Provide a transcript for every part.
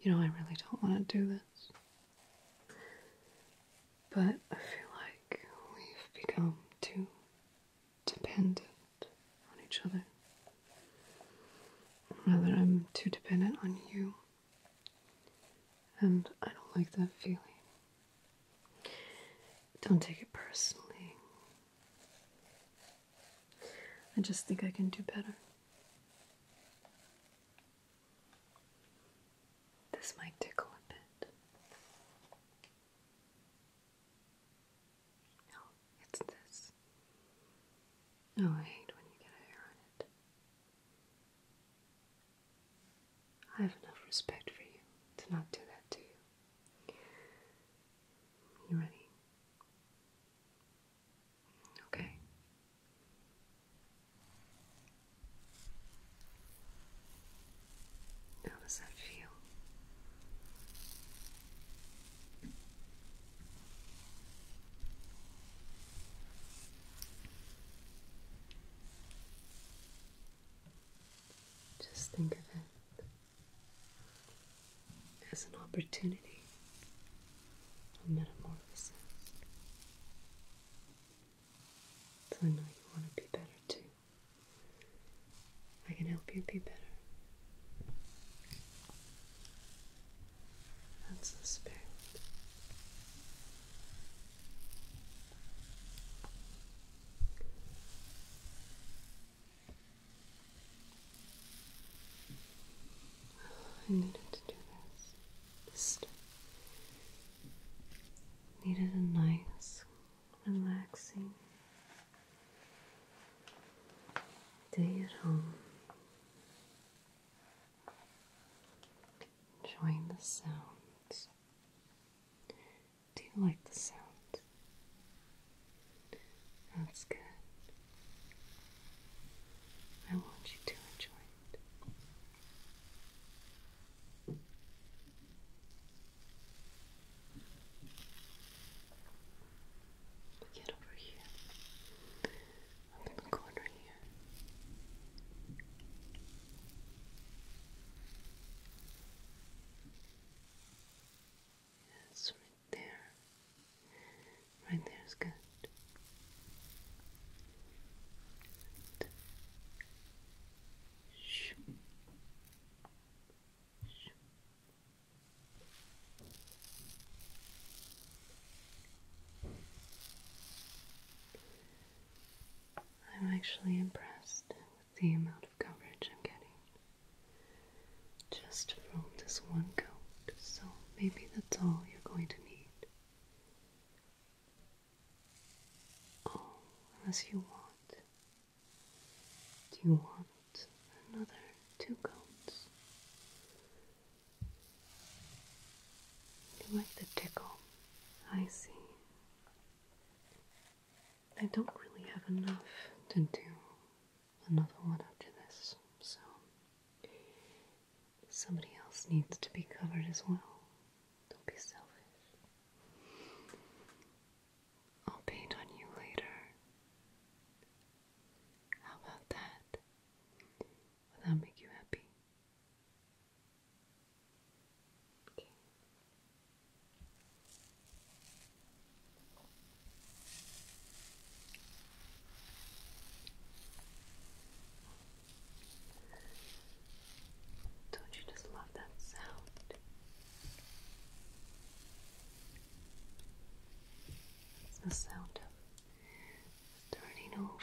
You know, I really don't want to do this. But I feel like we've become too dependent on each other. Rather, I'm too dependent on you. And I don't like that feeling. Don't take it personally. I just think I can do better. This might tickle a bit. No, it's this. Oh, I hate when you get a hair on it. I have enough respect for you to not do that to you. You ready? Okay. How does that feel? Just think of it as an opportunity for metamorphosis. I know you want to be better too. I can help you be better. That's the spirit. I needed to do this. Just needed a nice, relaxing day at home. Enjoying the sounds do you like the sound? That's good. I want you to enjoy it. Get over here. Up in the corner here. Yes, right there. Right there is good. Right. Shoo. I'm actually impressed with the amount of coverage I'm getting just from this one coat, so maybe that's all you're going to need. Oh, unless you want. Do you want another two coats? You like the tickle? I see. I don't really have enough to do another one after this, so somebody else needs to be covered as well. Don't be selfish. I'll paint on you later. How about that? Will that make you happy? Okay. Don't you just love that sound? It's the sound of turning over.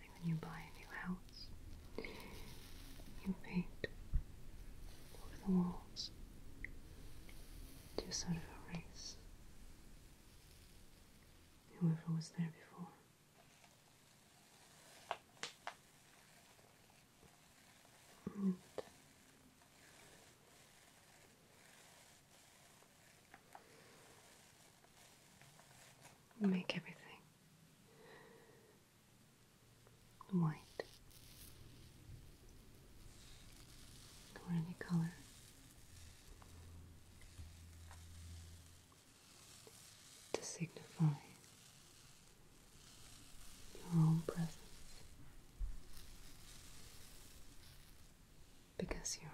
Like when you buy a new house, you paint over the walls to sort of erase whoever was there before make everything white. Or any color to signify your own presence because you're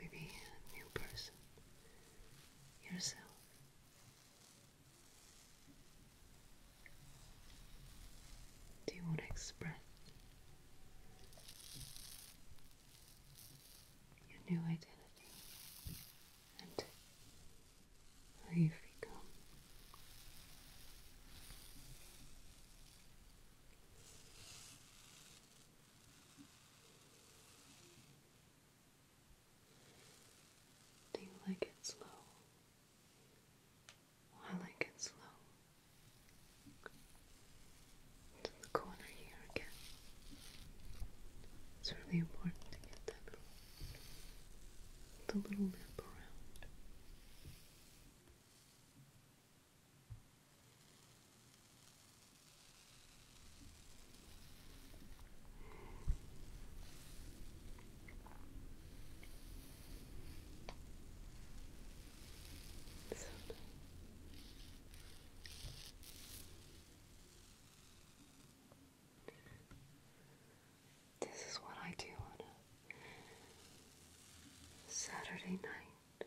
maybe a new person yourself. Do you want to express your new identity? and away we go. Do you like it slow? I like it slow. To the corner here again. It's really important to get that little, the little lip around. So, this is what I do on a Saturday night.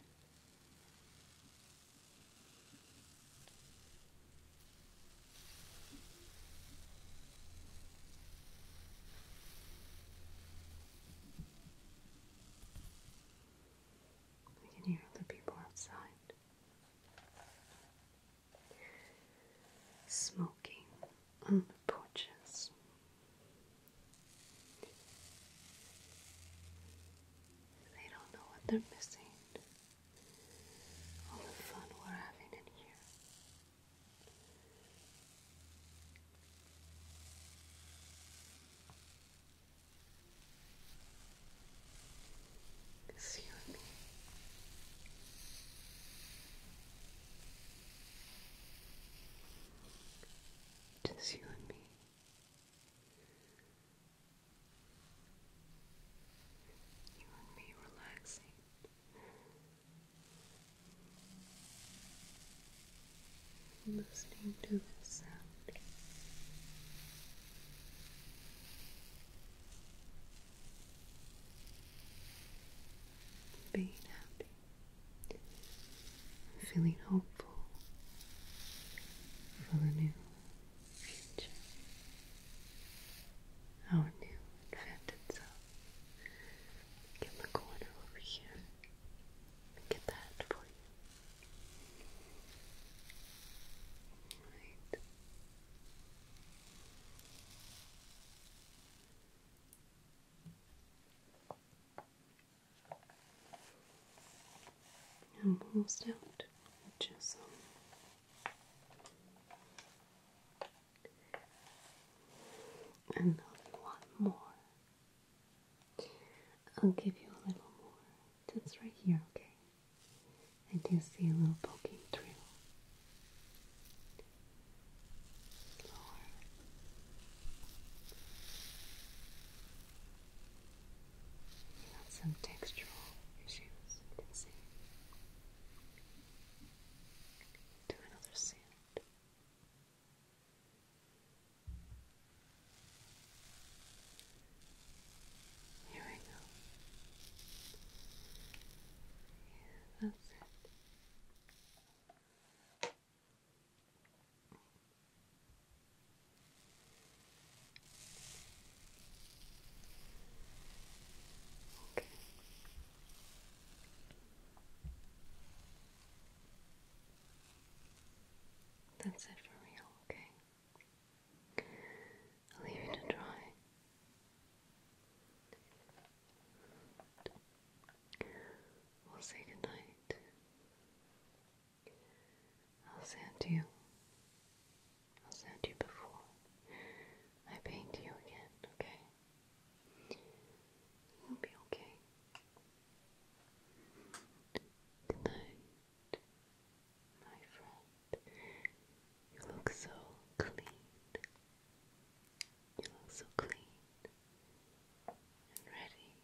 We can hear the people outside. Smoking on the porches. They don't know what they're missing. All the fun we're having in here. It's you and me. Just you and me. You and me relaxing. Listening to the sound. Being happy, feeling hopeful for the new future. Our new invented self. Get the corner over here. Get that for you. Right. And almost out, which and a more. I'll give you a little more. That's right here, okay? I do see a little poking through. Lower. You got some textural issues, Do another sand. Here we go. Yeah, that's it. Okay. That's it for real, okay? I'll leave you to try. We'll say goodnight. I'll send you. I'll send you before I paint you again, okay? You'll be okay. Good my friend. You look so clean. You look so clean and ready. Bye.